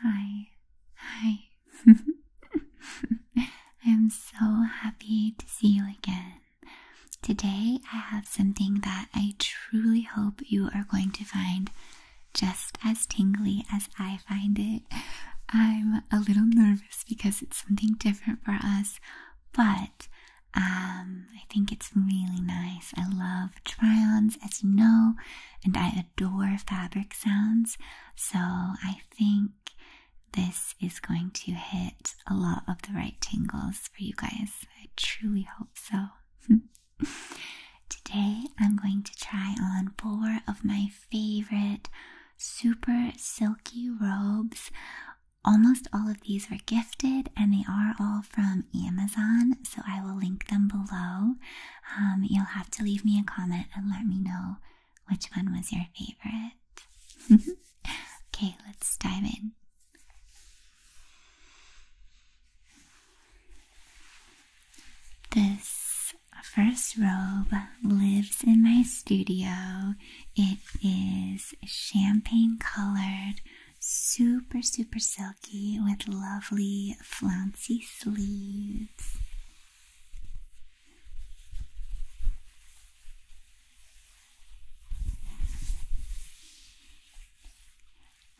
Hi, hi. I'm so happy to see you again. Today, I have something that I truly hope you are going to find just as tingly as I find it. I'm a little nervous because it's something different for us, but um, I think it's really nice. I love try ons, as you know, and I adore fabric sounds, so I think this is going to hit a lot of the right tingles for you guys. I truly hope so. Today I'm going to try on four of my favorite super silky robes. Almost all of these were gifted and they are all from Amazon, so I will link them below. Um, you'll have to leave me a comment and let me know which one was your favorite. okay, let's dive in. This first robe lives in my studio. It is champagne colored, super, super silky with lovely flouncy sleeves.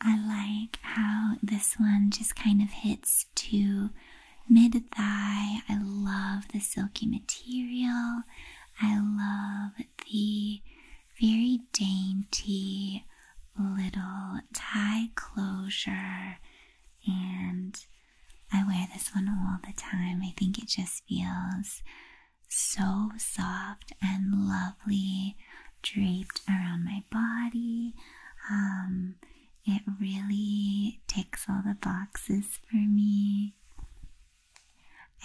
I like how this one just kind of hits to mid thigh. I love the silky material. I love the very dainty little tie closure. And I wear this one all the time. I think it just feels so soft and lovely, draped around my body. Um, it really ticks all the boxes for me.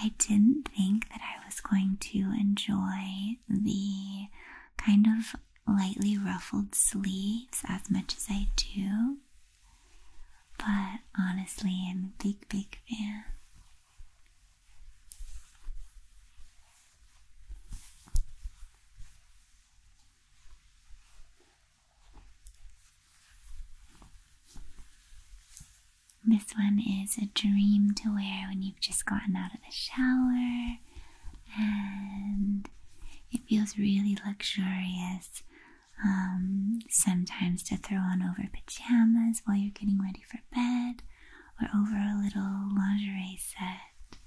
I didn't think that I was going to enjoy the kind of lightly ruffled sleeves as much as I do, but honestly, I'm a big, big fan. This one is a dream to wear when you've just gotten out of the shower and it feels really luxurious um, sometimes to throw on over pajamas while you're getting ready for bed or over a little lingerie set.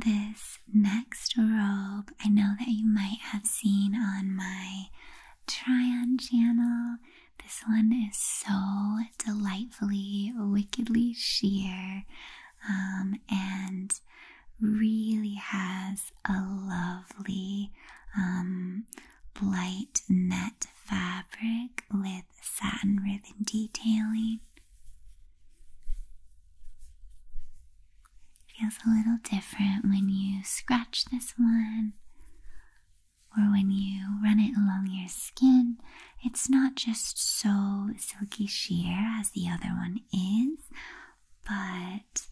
This next robe. I know that you might have seen on my try channel. This one is so delightfully, wickedly sheer um, and really has a lovely um, light net fabric with satin ribbon detailing. Feels a little different when you scratch this one or when you run it along your skin. It's not just so silky sheer as the other one is, but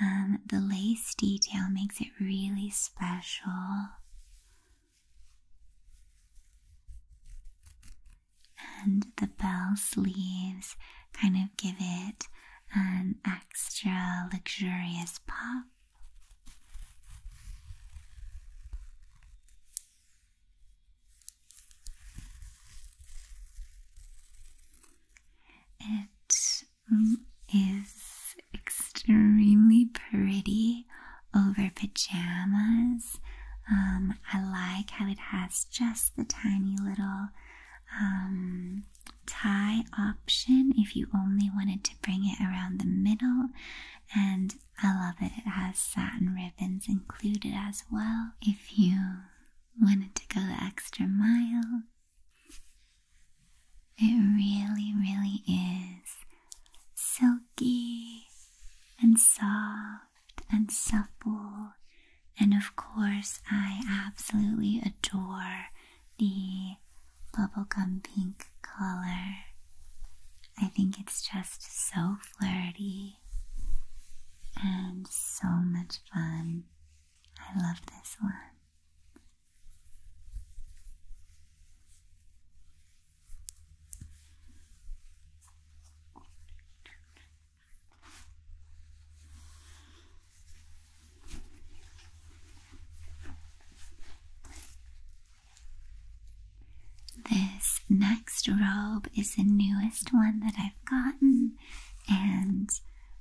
um, the lace detail makes it really special and the bell sleeves kind of give it an extra luxurious pop. It is extremely pretty over pajamas. Um, I like how it has just the tiny little um, tie option if you only wanted to bring it around the middle. And I love that it has satin ribbons included as well if you wanted to go the extra mile. It really, really is silky and soft and supple. And of course, I absolutely adore the bubblegum pink color. I think it's just so flirty and so much fun. I love this one. This next robe is the newest one that I've gotten, and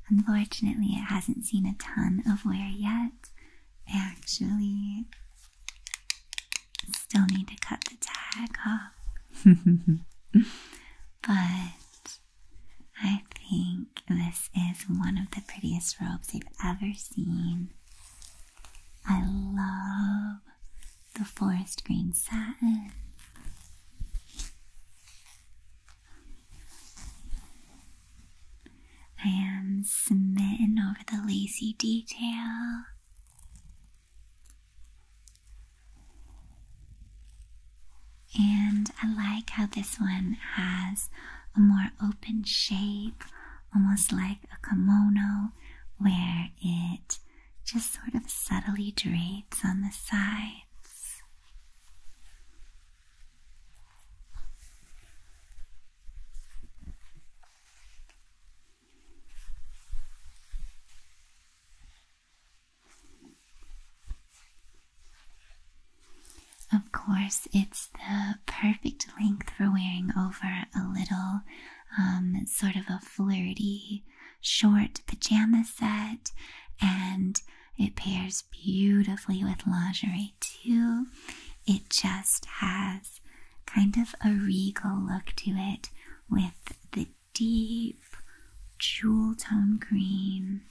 unfortunately, it hasn't seen a ton of wear yet. actually Still need to cut the tag off. but I think this is one of the prettiest robes I've ever seen. I love the forest green satin. I am smitten over the lazy detail. And I like how this one has a more open shape, almost like a kimono, where it just sort of subtly drapes on the sides. Of course, it's the perfect length for wearing over a little um, sort of a flirty short pajama set, and it pairs beautifully with lingerie too. It just has kind of a regal look to it with the deep jewel tone green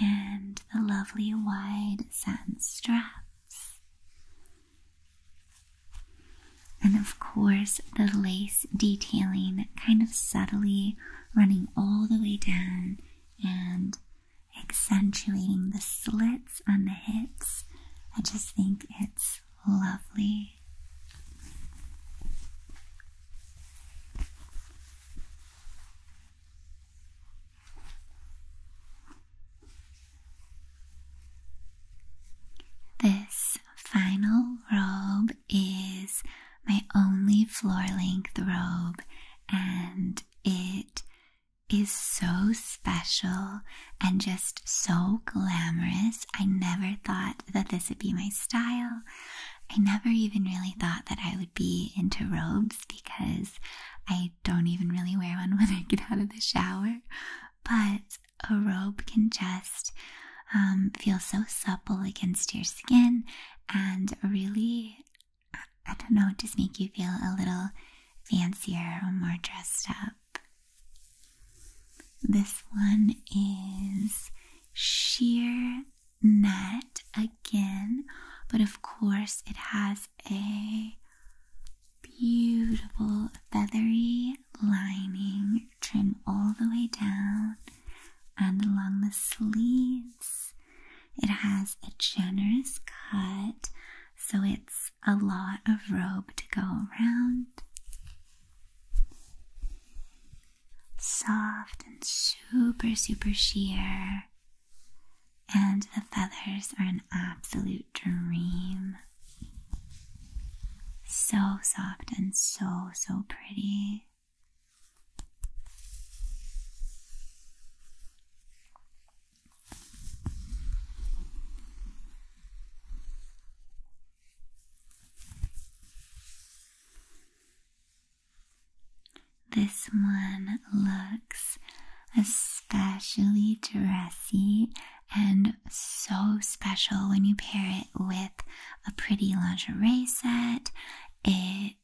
and the lovely wide satin straps. And of course, the lace detailing kind of subtly running all the way down and accentuating the slits on the hips. I just think it's lovely. This final robe is my only floor length robe, and it is so special and just so glamorous. I never thought that this would be my style. I never even really thought that I would be into robes because I don't even really wear one when I get out of the shower. But a robe can just um, feel so supple against your skin and really I, don't know, just make you feel a little fancier or more dressed up. This one is sheer net again, but of course, it has a beautiful feathery lining trim all the way down and along the sleeves it has a generous cut, so it's a lot of robe to go around. Soft and super, super sheer. And the feathers are an absolute dream. So soft and so, so pretty. This one looks especially dressy and so special when you pair it with a pretty lingerie set. It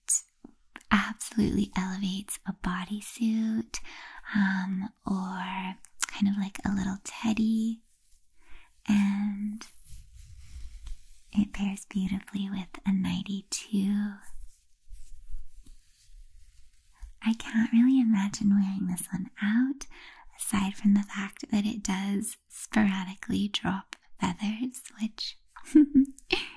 absolutely elevates a bodysuit um, or kind of like a little teddy. And it pairs beautifully with a 92. I can't really imagine wearing this one out, aside from the fact that it does sporadically drop feathers, which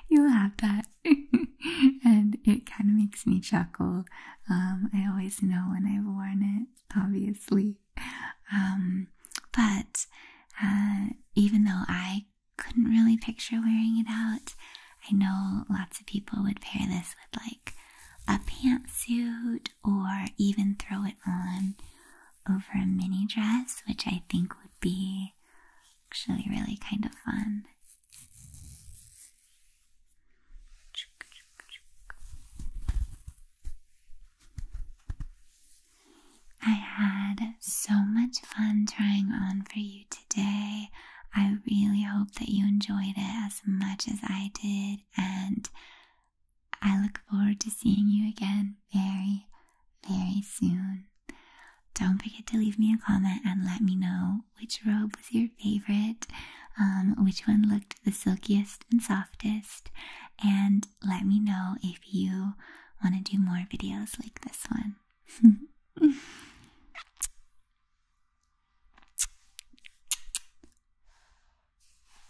you'll have that. and it kind of makes me chuckle. Um, I always know when I've worn it, obviously. Um, but uh, even though I couldn't really picture wearing it out, I know lots of people would pair this with like a pantsuit or even throw it on over a mini dress, which I think would be actually really kind of fun. I had so much fun trying on for you today. I really hope that you enjoyed it as much as I did, and I look forward to seeing you again very, very soon. Don't forget to leave me a comment and let me know which robe was your favorite, um, which one looked the silkiest and softest, and let me know if you want to do more videos like this one.